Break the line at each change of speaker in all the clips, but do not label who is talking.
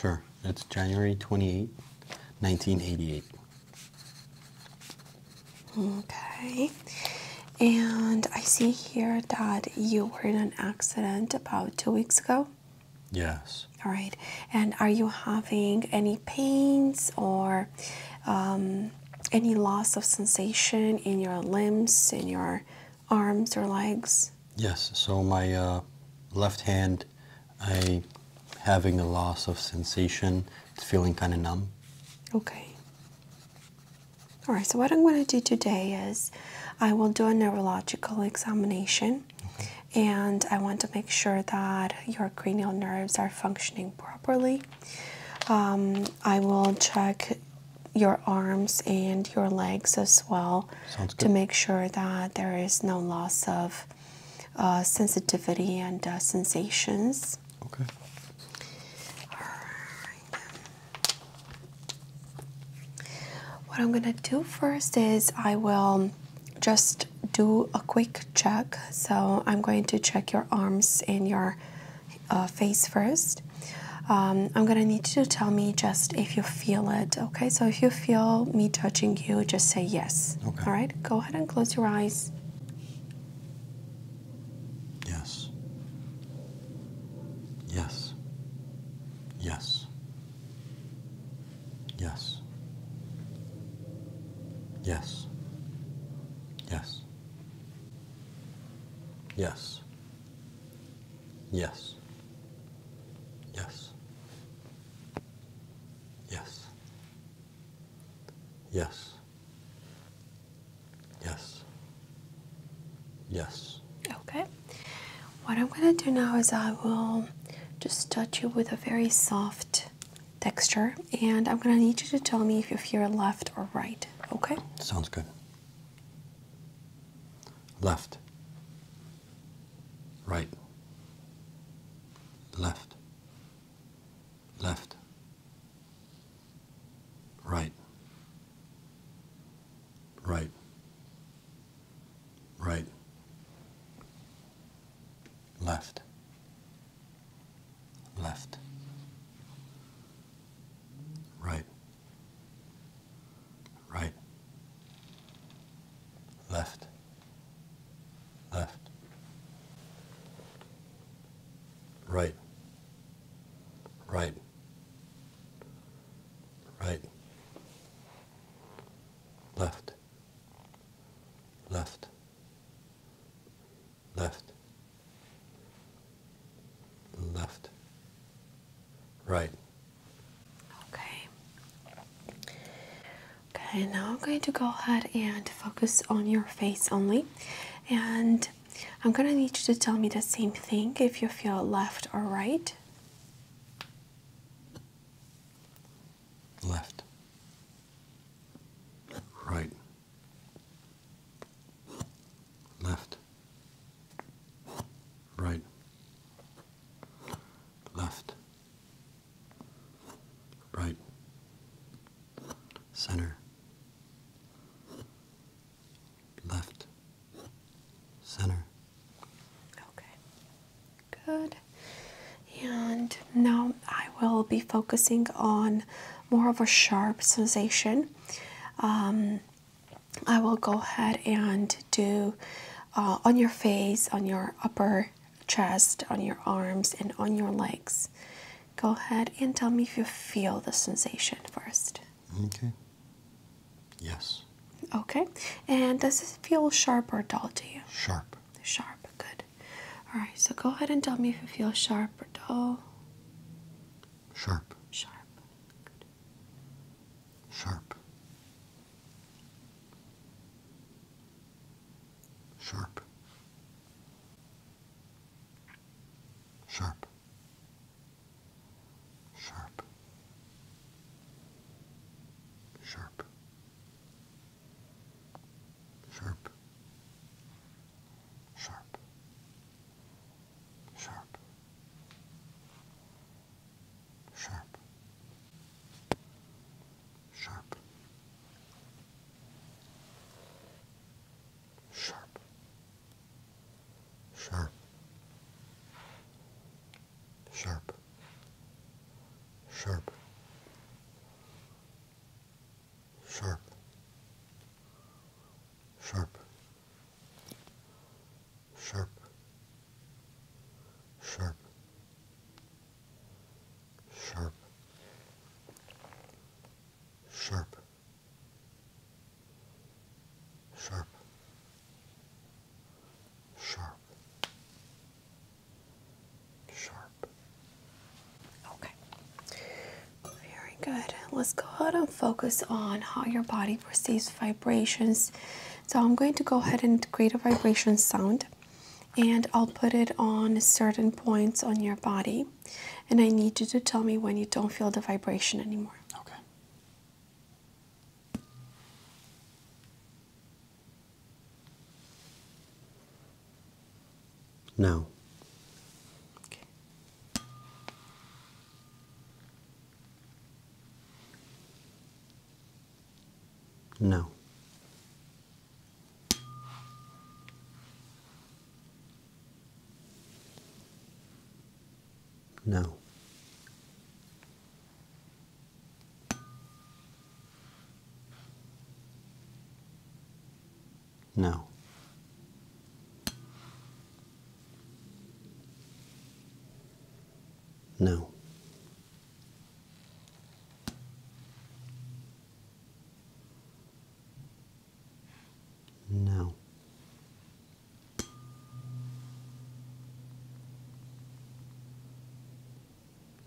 Sure, it's January 28, 1988.
Okay. And I see here that you were in an accident about two weeks ago. Yes. All right. And are you having any pains or um, any loss of sensation in your limbs, in your arms or legs?
Yes. So my uh, left hand, I having a loss of sensation. It's feeling kind of numb.
Okay. All right. So what I'm going to do today is, I will do a neurological examination. And I want to make sure that your cranial nerves are functioning properly. Um, I will check your arms and your legs as well to make sure that there is no loss of uh, sensitivity and uh, sensations. Okay. What I'm going to do first is I will just do a quick check. So I'm going to check your arms and your uh, face first. Um, I'm gonna need you to tell me just if you feel it, okay? So if you feel me touching you, just say yes. Okay. All right, go ahead and close your eyes.
Yes.
Yes. Yes. Yes. Yes. Yes. Yes. Yes. Yes. Yes. Yes. Yes.
Okay. What I'm going to do now is I will just touch you with a very soft texture, and I'm gonna need you to tell me if you're left or right, okay?
Sounds good. Left, right, left, left, right, right, right, left left, right, right, left, left, right, right, right, left, left left, left, right.
Okay. Okay, now I'm going to go ahead and focus on your face only. And I'm going to need you to tell me the same thing if you feel left or right.
Left, right left, right, left, right,
center, left,
center. Okay. Good and now I will be focusing on more of a sharp sensation. Um, I will go ahead and do uh, on your face, on your upper chest, on your arms, and on your legs. Go ahead and tell me if you feel the sensation first.
Okay. Yes.
Okay. And does it feel sharp or dull to you? Sharp. Sharp. Good. Alright, so go ahead and tell me if you feel sharp or dull. Sharp. Sharp. Sharp. Sharp. Sharp. Sharp. Sharp.
Sharp. Sharp. Sharp. Sharp. Sharp. Sharp. Sharp. Sharp sharp, sharp, sharp, sharp, sharp, sharp, sharp, sharp,
sharp. Okay. Very good. Let's go ahead and focus on how your body perceives vibrations. So I'm going to go ahead and create a vibration sound and I'll put it on certain points on your body. And I need you to tell me when you don't feel the vibration anymore. Okay.
No. Okay. No. No. No. No. No.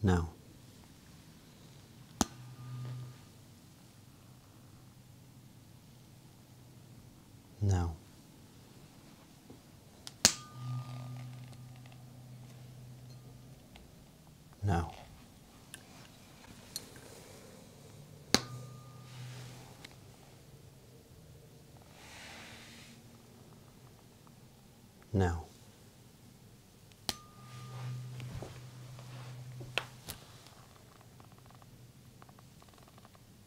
No. No. now. Now.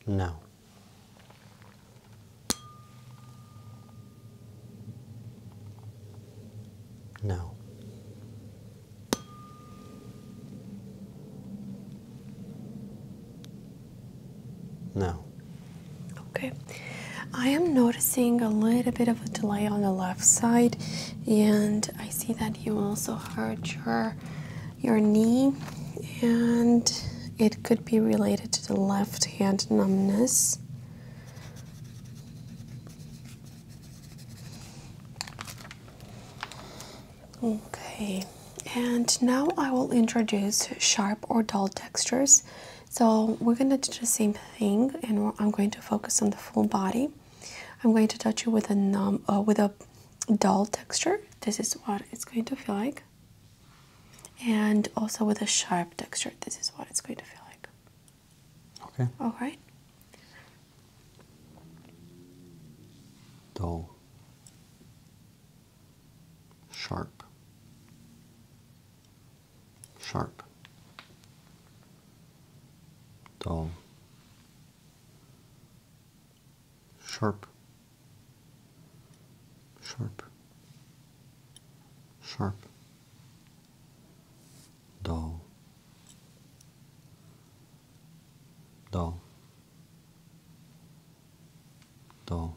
No. No. No.
Okay. I am noticing a little bit of a delay on the left side, and I see that you also hurt your your knee, and it could be related to the left hand numbness. Okay, and now I will introduce sharp or dull textures so we're going to do the same thing, and I'm going to focus on the full body. I'm going to touch you with a uh, with a dull texture. This is what it's going to feel like, and also with a sharp texture. This is what it's going to feel like. Okay. All right.
Dull. Sharp sharp, dull, sharp, sharp, sharp, dull, dull, dull,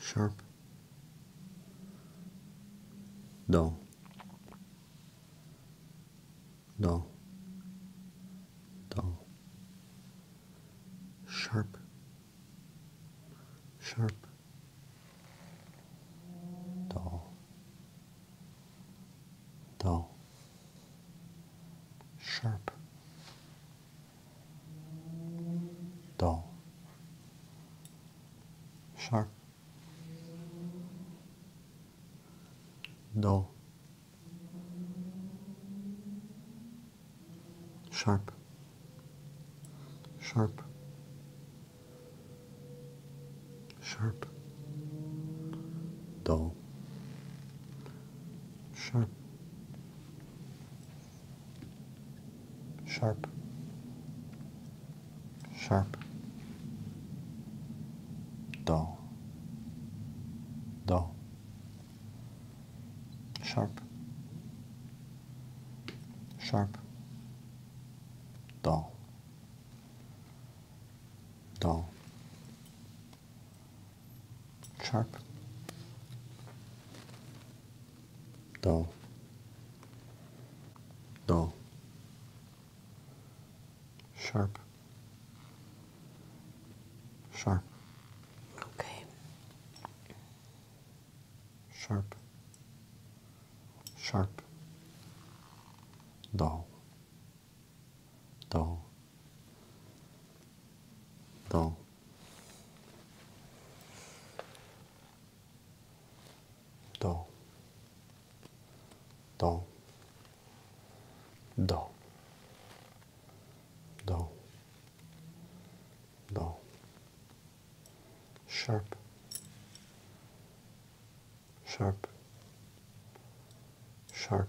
sharp, dull, dull, dull, sharp, sharp, dull, dull, sharp dull, sharp, dull, sharp, sharp, sharp, dull, sharp, Sharp. Sharp. Dull. Dull. Sharp. Sharp. Dull. Dull. Sharp dull, dull, sharp, sharp. Okay. Sharp, sharp, dull, dull, dull. Do. Do. Do. Do. Do. Sharp. Sharp. Sharp.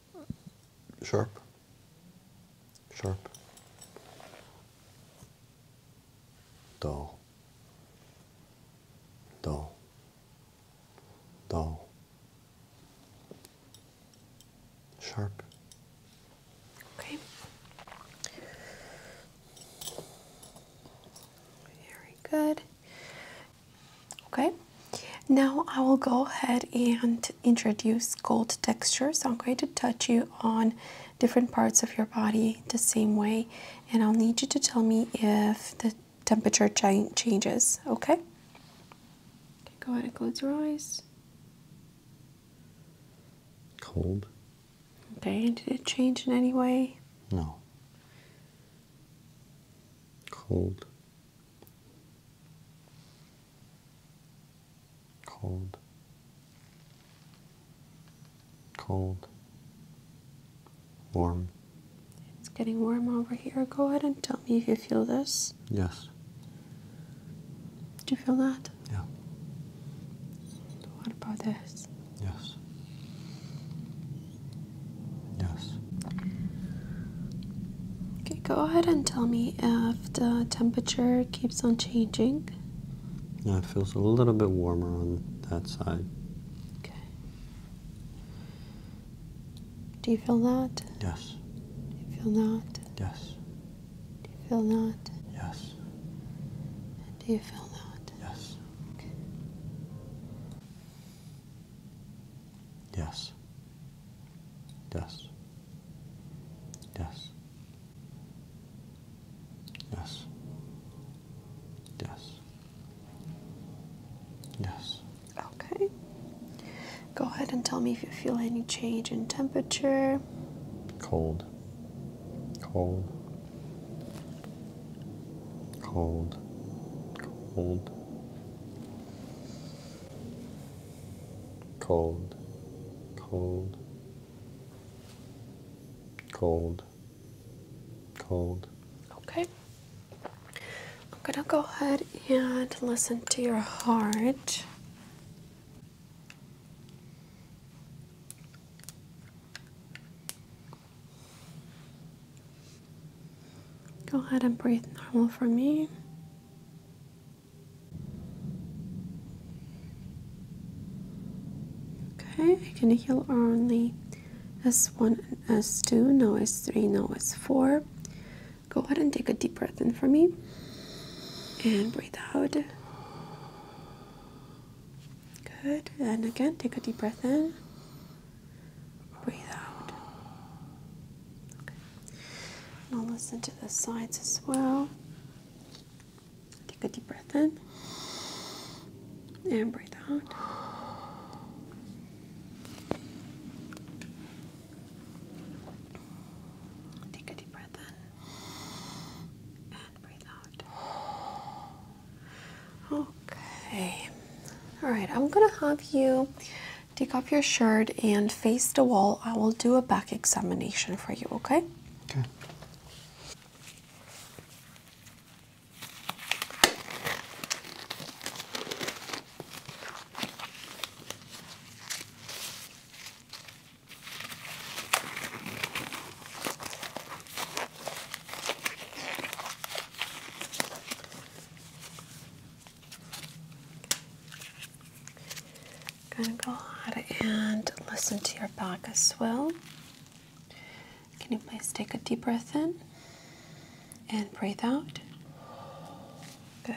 Sharp. Sharp. Dull. Dull. Dull. Sharp. Okay.
Very good. Okay, now I will go ahead and introduce cold texture. So I'm going to touch you on different parts of your body the same way, and I'll need you to tell me if the temperature changes. okay go ahead and close your eyes. Cold. Okay, did it change in any way?
No.
Cold cold, cold, warm.
It's getting warm over here. Go ahead and tell me if you feel this. Yes. Do you feel that? Yeah. What about this? Yes. Yes. Okay, go ahead and tell me if the temperature keeps on changing.
Yeah, it feels a little bit warmer on that side. Okay.
Do you feel that? Yes. Do you feel that? Yes. Do you feel that? Yes. do you feel that? Yes.
Yes. Yes. Yes. Yes. Yes.
Yes. Okay. Go ahead and tell me if you feel any change in temperature.
Cold. Cold. Cold. Cold cold, cold, cold, cold.
Okay. I'm going to go ahead and listen to your heart. Go ahead and breathe normal for me. Okay, I can heal only S1 S2, no S3, no S4. Go ahead and take a deep breath in for me and breathe out. Good, and again, take a deep breath in Breathe out. Okay. I'll listen to the sides as well. Take a deep breath in and breathe out. Take a deep breath in and breathe out. Okay. All right, I'm going to have you Take off your shirt and face the wall. I will do a back examination for you, okay? I'm gonna go ahead and listen to your back as well. Can you please take a deep breath in and breathe out? Good.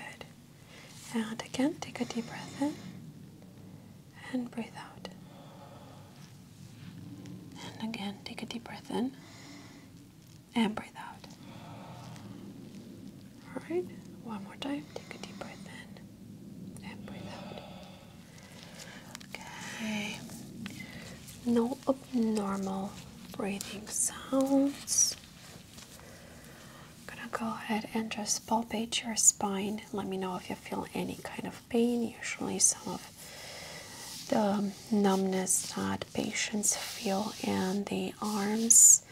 And again, take a deep breath in and breathe out. And again, take a deep breath in and breathe out. All right, one more time. Take a deep breath in and breathe out. Okay, no abnormal breathing sounds. I'm gonna go ahead and just palpate your spine. Let me know if you feel any kind of pain. Usually, some of the numbness, not uh, patients feel in the arms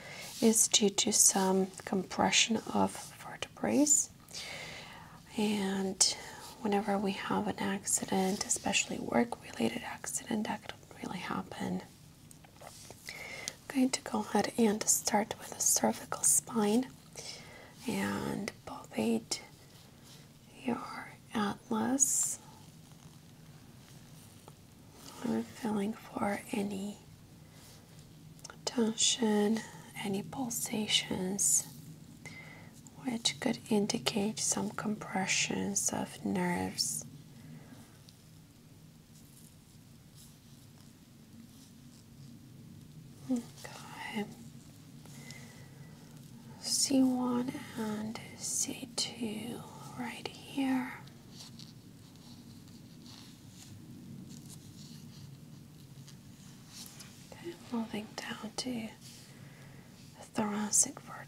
is due to some compression of vertebrae. And whenever we have an accident, especially work related accident, that could really happen. I'm going to go ahead and start with the cervical spine and palpate your atlas I'm feeling for any tension, any pulsations, which could indicate some compressions of nerves. Okay. C1 and C2 right here. Okay, moving down to the thoracic vertebrae.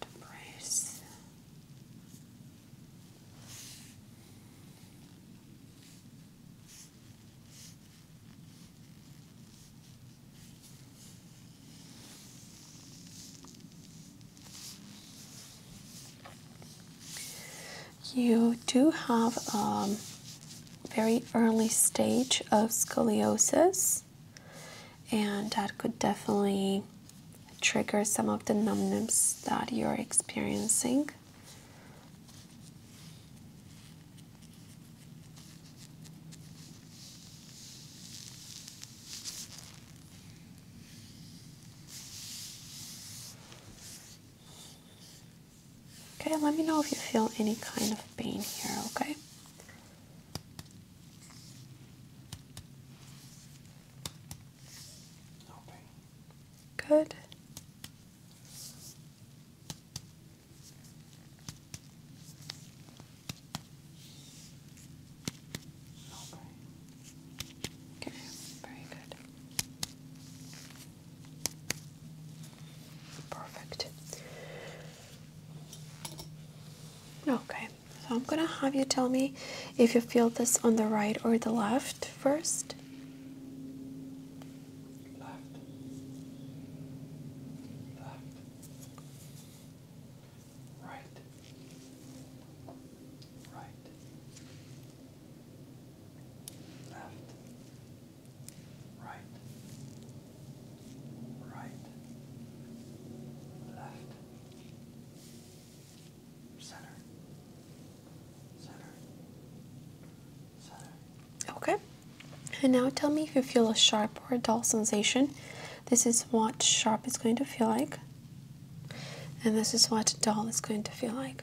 You do have a um, very early stage of scoliosis, and that could definitely trigger some of the numbness that you're experiencing. Okay, let me know if you feel any kind of pain here, okay? Good. Okay. Okay, very good. Perfect. Okay, so I'm gonna have you tell me if you feel this on the right or the left first. Left. Left right, right, left, right, right, left, center, center, center. Okay. And now tell me if you feel a sharp for a dull sensation. This is what sharp is going to feel like, and this is what dull is going to feel like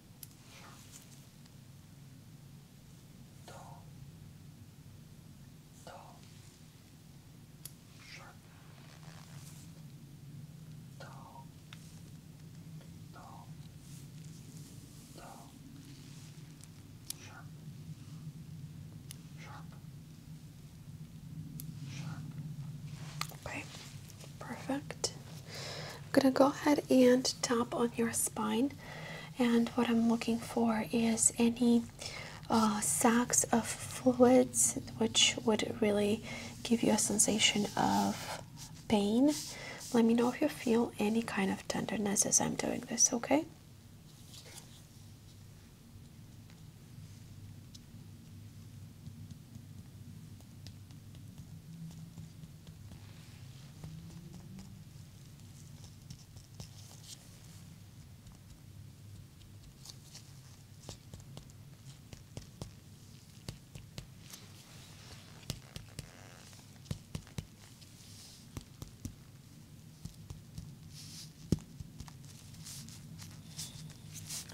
Do. Do. Sharp. Do. Do. Do. Sharp. Sharp.
Sharp. Okay. Perfect. I'm going to go ahead and tap on your spine. And what I'm looking for is any uh, sacs of fluids, which would really give you a sensation of pain. Let me know if you feel any kind of tenderness as I'm doing this, okay?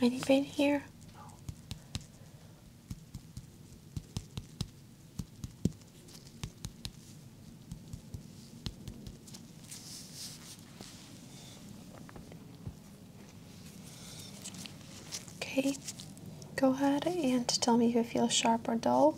Any been here? Okay, go ahead and tell me if it feels sharp or dull.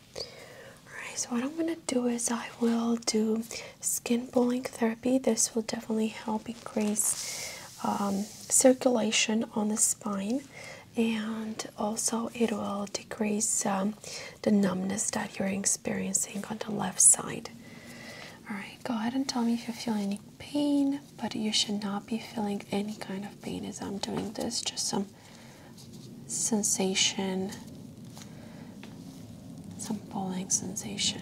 Alright, so what I'm gonna do is I will do skin pulling therapy. This will definitely help increase um, circulation on the spine and also it will decrease um, the numbness that you're experiencing on the left side. Alright, go ahead and tell me if you feel any pain, but you should not be feeling any kind of pain as I'm doing this, just some sensation, some pulling sensation.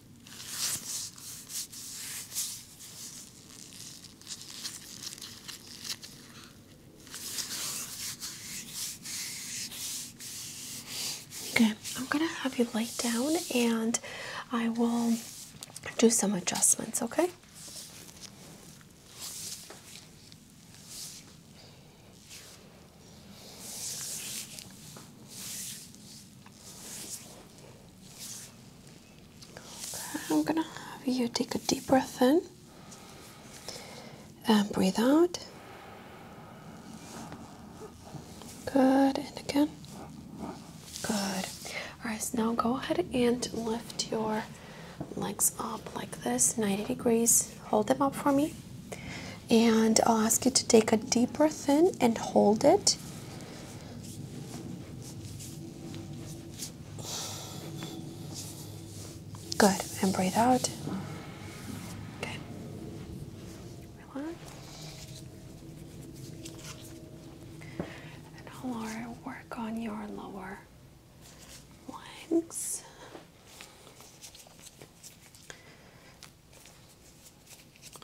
Okay, I'm gonna have you lay down and I will do some adjustments, okay? I'm gonna have you take a deep breath in and breathe out. Good, and again. Good. Alright, so now go ahead and lift your legs up like this 90 degrees. Hold them up for me. And I'll ask you to take a deep breath in and hold it Good. And breathe out. Okay. Relax. And I'll work on your lower legs.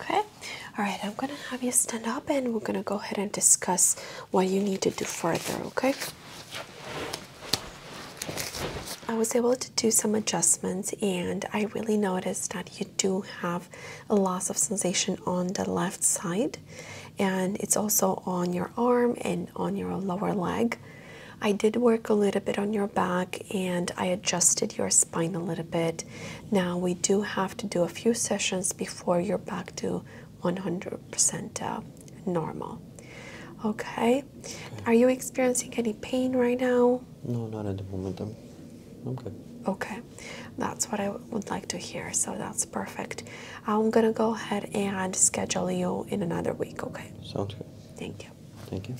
Okay, all right, I'm gonna have you stand up and we're gonna go ahead and discuss what you need to do further, okay? I was able to do some adjustments and I really noticed that you do have a loss of sensation on the left side and it's also on your arm and on your lower leg. I did work a little bit on your back and I adjusted your spine a little bit now we do have to do a few sessions before you're back to 100% uh, normal. Okay. Are you experiencing any pain right now?
No, not at the moment. I'm good.
Okay. That's what I would like to hear. So that's perfect. I'm going to go ahead and schedule you in another week. Okay. Sounds good. Thank you.
Thank you.